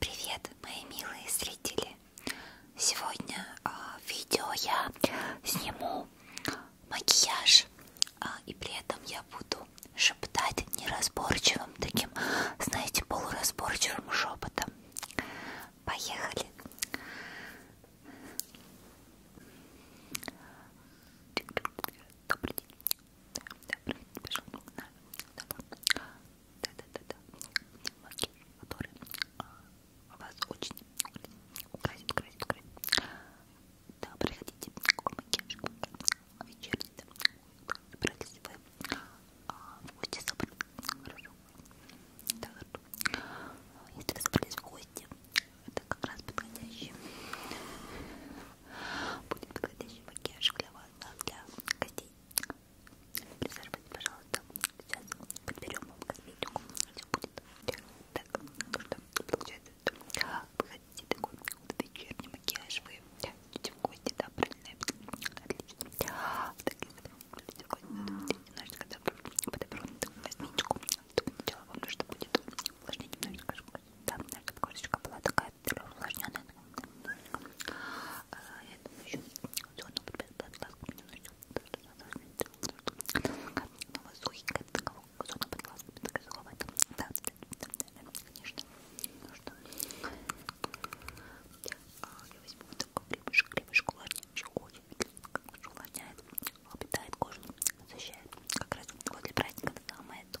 Привет, мои милые зрители! Сегодня в а, видео я сниму макияж, а, и при этом я буду шептать неразборчивым, таким, знаете, полуразборчивым шепотом. Поехали! Добрый день. Добрый день да-да-да-да, маски, которые а, вас очень украсит, украсит, украсит. Да, приходите к макияжу, вечерница, собирайтесь вы а, в гости собрались, хорошо? Да, хорошо. Если вы собрались в гости, это как раз подходящий, будет подходящий макияж для вас, да, для гостей. Присаживайтесь, пожалуйста. Сейчас подберем вам косметику. Все будет. Так, ну что, получается, вы хотите такой вот вечерний макияж, вы идете в гости, да, правильно? Отлично. Так, если вы идете в гости, то немножечко подобрать такую косметику. Сначала вам нужно будет увлажнить немножечко шкуру. Да, наша кошечка была такая увлажненный. Э, я думаю, еще зону под глазком немножечко. Сухенькая, зона под глазками, такая суховатая. Да, да, да, конечно. Ну что, а, я возьму вот такой клипышек, клипышек увлажняющий, очень увлажняет, питает кожу, защищает. Как раз вот для праздника самое то.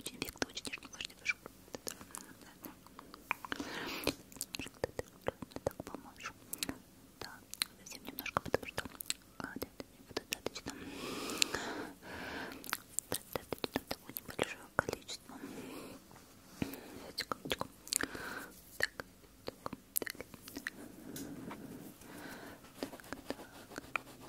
Очень векто, очень нежный, влажный пушок. Так поможешь. Да, совсем немножко, потому что а, да, да, достаточно, достаточно такое небольшое количество. Секундочку. Так, так, так. Так, так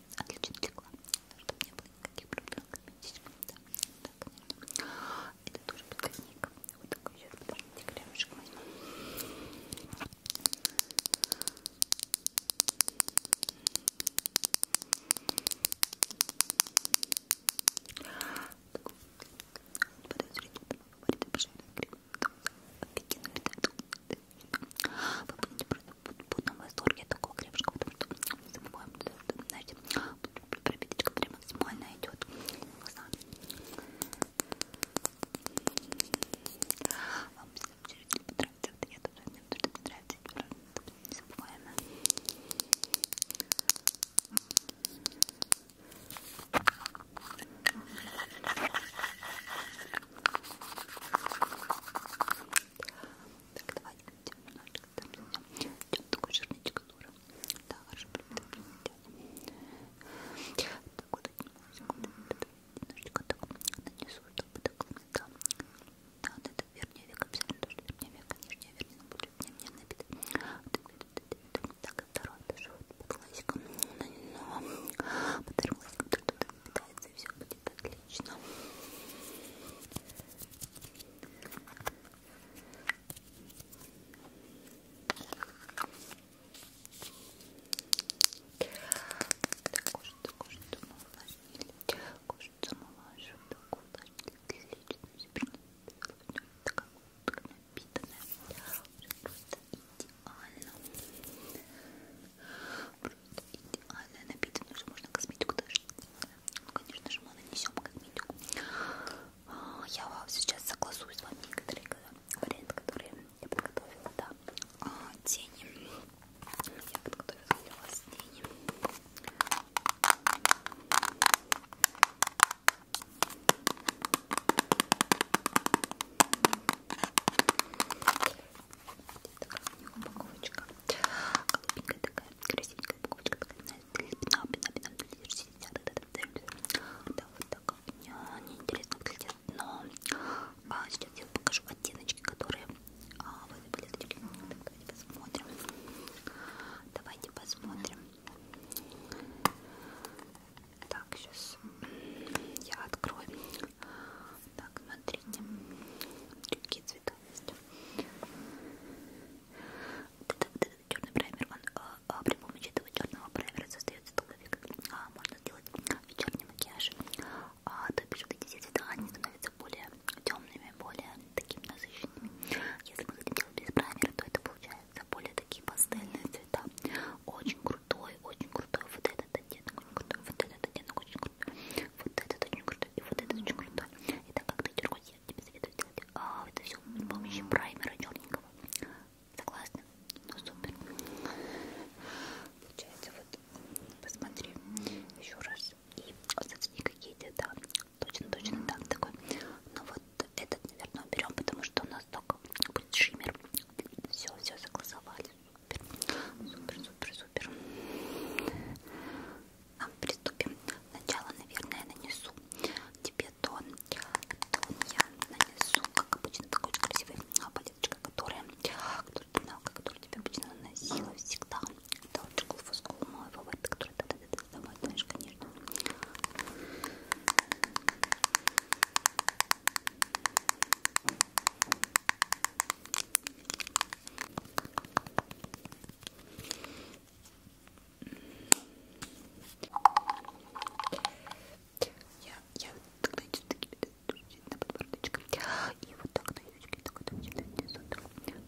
отлично легла, чтобы не было никаких проблем косметичком, да, да, конечно. Это тоже подгонник. Вот такой сейчас, подождите, кремушек возьму. Подозрительно, говорит, обжаренный крем. Офигенно, ребята. Вы будете просто в путном восторге от такого крепышка, потому что мы забываем, знаете, пропиточка прям максимально идет в глаза. Вам абсолютно не понравится, это я тоже не нравится, незабываемо. Так, давайте немножечко там зайдем. Идем такой жирничек дура. Да, хорошо, Так, вот одну секунду. Немножечко так нанесу, чтобы так да. Ну да, вот это верхний век, абсолютно тоже верхний век, нижний век, но будет не набит. Так, и второй тоже вот под глазиком. Но под глазиком как питается, все будет отлично. Так, кожица, кожицу мы увлажнили, кожицу мы увлажнили, так увлажнили, отлично, все принято, такая вот напитанная, уже просто идеально. Просто идеальная напиток, уже можно косметику даже. Ну, конечно же, мы нанесем косметику. А, я сейчас согласую с вами некоторые варианты, которые я подготовила, да. А, тени. Я подготовила для вас тени такая у нее упаковочка. Голубенькая такая, красивенькая упаковочка. Такая, пятна, пятна, пятна, Да, вот так. Мне неинтересно выглядит, но а, сейчас я покажу оттеночки, которые а, вы выглядели. Давайте посмотрим. Давайте посмотрим. Так, сейчас я открою так, смотрите. Какие цвета есть. Вот этот, этот черный праймер, он а, а, при помощи этого черного праймера создается долговик. А, можно сделать вечерний макияж. А, то бишь, эти все цвета, они становятся более темными, более такими насыщенными. Если мы хотим делать без праймера, то это получается более такие пастельные цвета. Очень крутой, очень крутой вот этот оттенок, очень крутой вот этот оттенок, очень крутой, вот этот очень крутой, и вот этот очень крутой. И так как ты дергать, я тебе советую сделать а, это все при помощи праймера черненького. Согласна? Ну супер. Получается, вот посмотри еще раз. И остаются никакие да, точно, точно так да, такой. Но ну, вот этот, наверное, берем, потому что у нас только будет шиммер. Все, все согласовали. Супер, супер, супер. А, приступим. Сначала, наверное, нанесу тебе тон. Тон я нанесу, как обычно, такой очень красивой а, палеточкой, которая, которую ты знала, которую тебе обычно наносила всегда. Это вот школ фоскул мой фаворит, который ты с тобой знаешь, конечно. Я, я тогда иду на подбородочком. И вот так на язычке такой там читайте суток, чтобы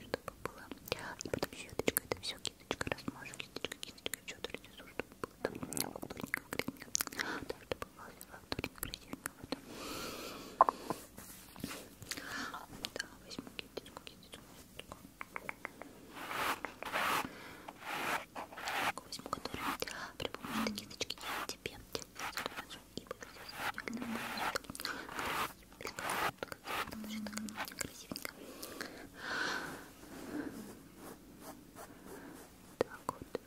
было. И потом щеточка, это все кисточка размажу, кисточка, кисточка, что-то чтобы было там, как дурненько, грязненько. Так, чтобы волосы, как-то очень красивенько в этом. Да, возьму кисточку, кисточку. Возьму, которую при помощи этой кисточки я тебе разукрашу и буду здесь красивенько. Так вот, так.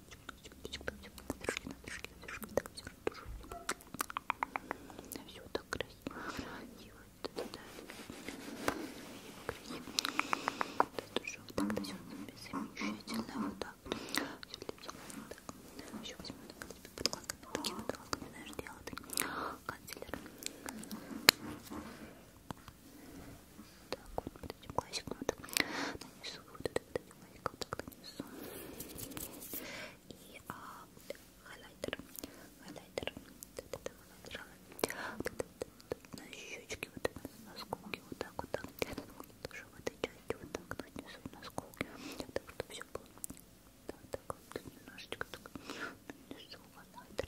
Все так красиво. красиво. Да, да, да. Красиво, красиво. Тут уже вот так дозерными замечательно. Вот так. Все летело. Вот Еще возьму так тебе подкладками. Такими подкладками, знаешь, дело ты. Канцлер так вот под этим классиком вот нанесу вот это под этим классиком так нанесу и а, хайлайтер хайлайтер на щечки вот на скулке вот так вот так тоже в этой части вот так нанесу на скулке так чтобы все было так так вот немножечко так нанесу хайлайтер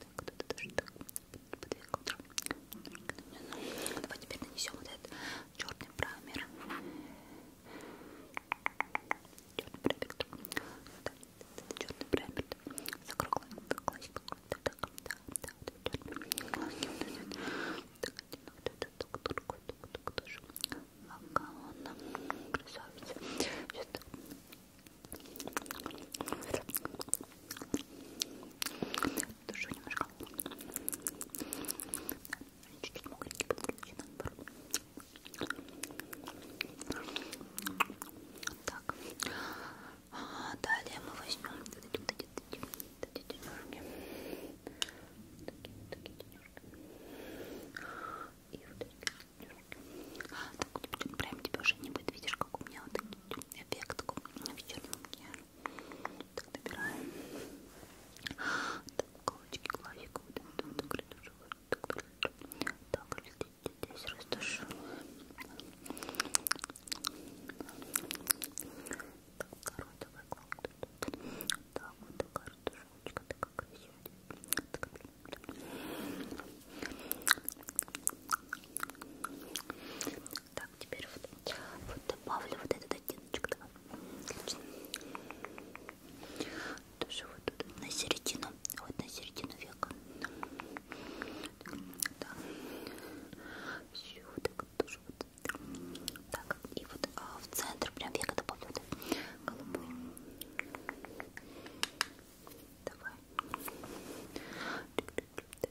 Так, кто-то даже так подвигал Давай теперь нанесем вот этот черный праймер. Черный праймер. Да, это черный праймер. Закруглый, закруглый, так, так, так, так, так, так, так, так, так, так, Душу немножко. Чуть-чуть мокренький подключи, наоборот. Так. А, далее мы возьмем вот эти, вот эти, вот эти денежки. Вот такие, вот такие денежки. И вот эти денежки. А, так, прям тебя уже не будет. Видишь, как у меня вот такие эффектку на вечернем макияже. Так добираем. Так, кулачки, глазик, вот это вот так растушевываем. Так, здесь растушевываем. Так, второй давай глазик. Так, вот такая растушевочка, такая красивая. Так, так, теперь вот, вот добавлю вот этот оттеночек. Давай. Отлично. Тоже вот тут на середину. Вот на середину века. Так. Все, так тоже вот. Так, и вот а, в центр прям века добавлю вот голубой. Давай. Так, так, так,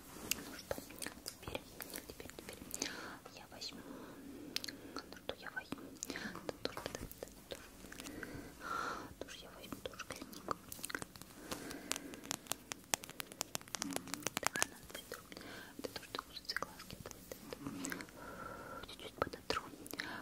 Ну что, теперь, теперь, теперь я возьму, ну что я возьму, да, тоже, да, да, тоже. тоже я возьму, тоже клинику. Да, это то, что ужится глазки, чуть-чуть подотру. Так,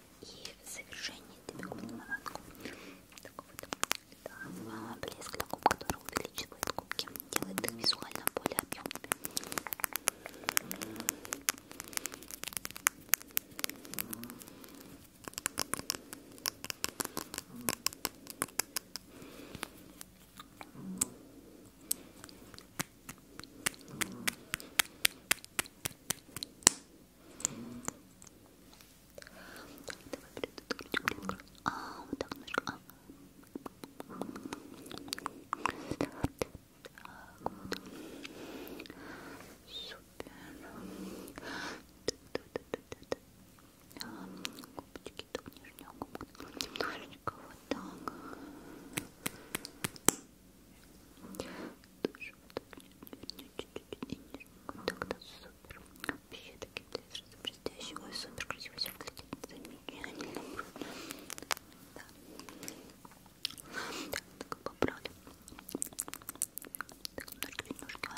и завершение тебе наладку. Такой вот да, блеск на губ, который увеличивает губки, делает их визуально более объемными. М -м -м. Давай, а, вот так немножко. А. Так, вот. Супер. Губочки тут нижнюю губку немножечко вот так. Тоже желтый и нижний так супер вообще такие блестящие блестящие ой супер красиво все выглядит замечательно да так, так поправлю так, ножки, ножки так, ножки, ножки так,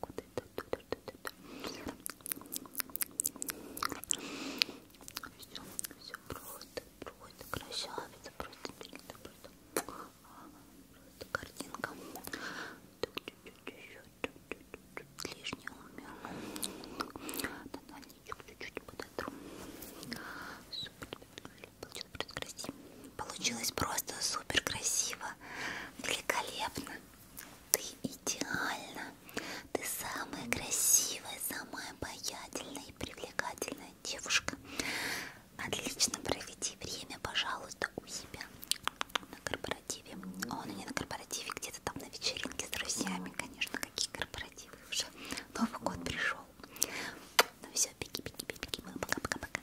вот это все, все просто, просто красавица, просто, просто, просто, просто картинка. Так, чуть-чуть еще, чуть-чуть лишнего умер. Тональничек чуть-чуть подотру. Супер, получилось просто красиво. Получилось просто супер красиво, великолепно. Ты идеальна. Ты самая красивая, самая обаятельная и привлекательная девушка. Отлично проведи время, пожалуйста, у себя на корпоративе. О, ну не на корпоративе, где-то там на вечеринке с друзьями, конечно, какие корпоративы уже. Новый год пришел. Ну все, беги, беги, беги, беги. Пока-пока-пока.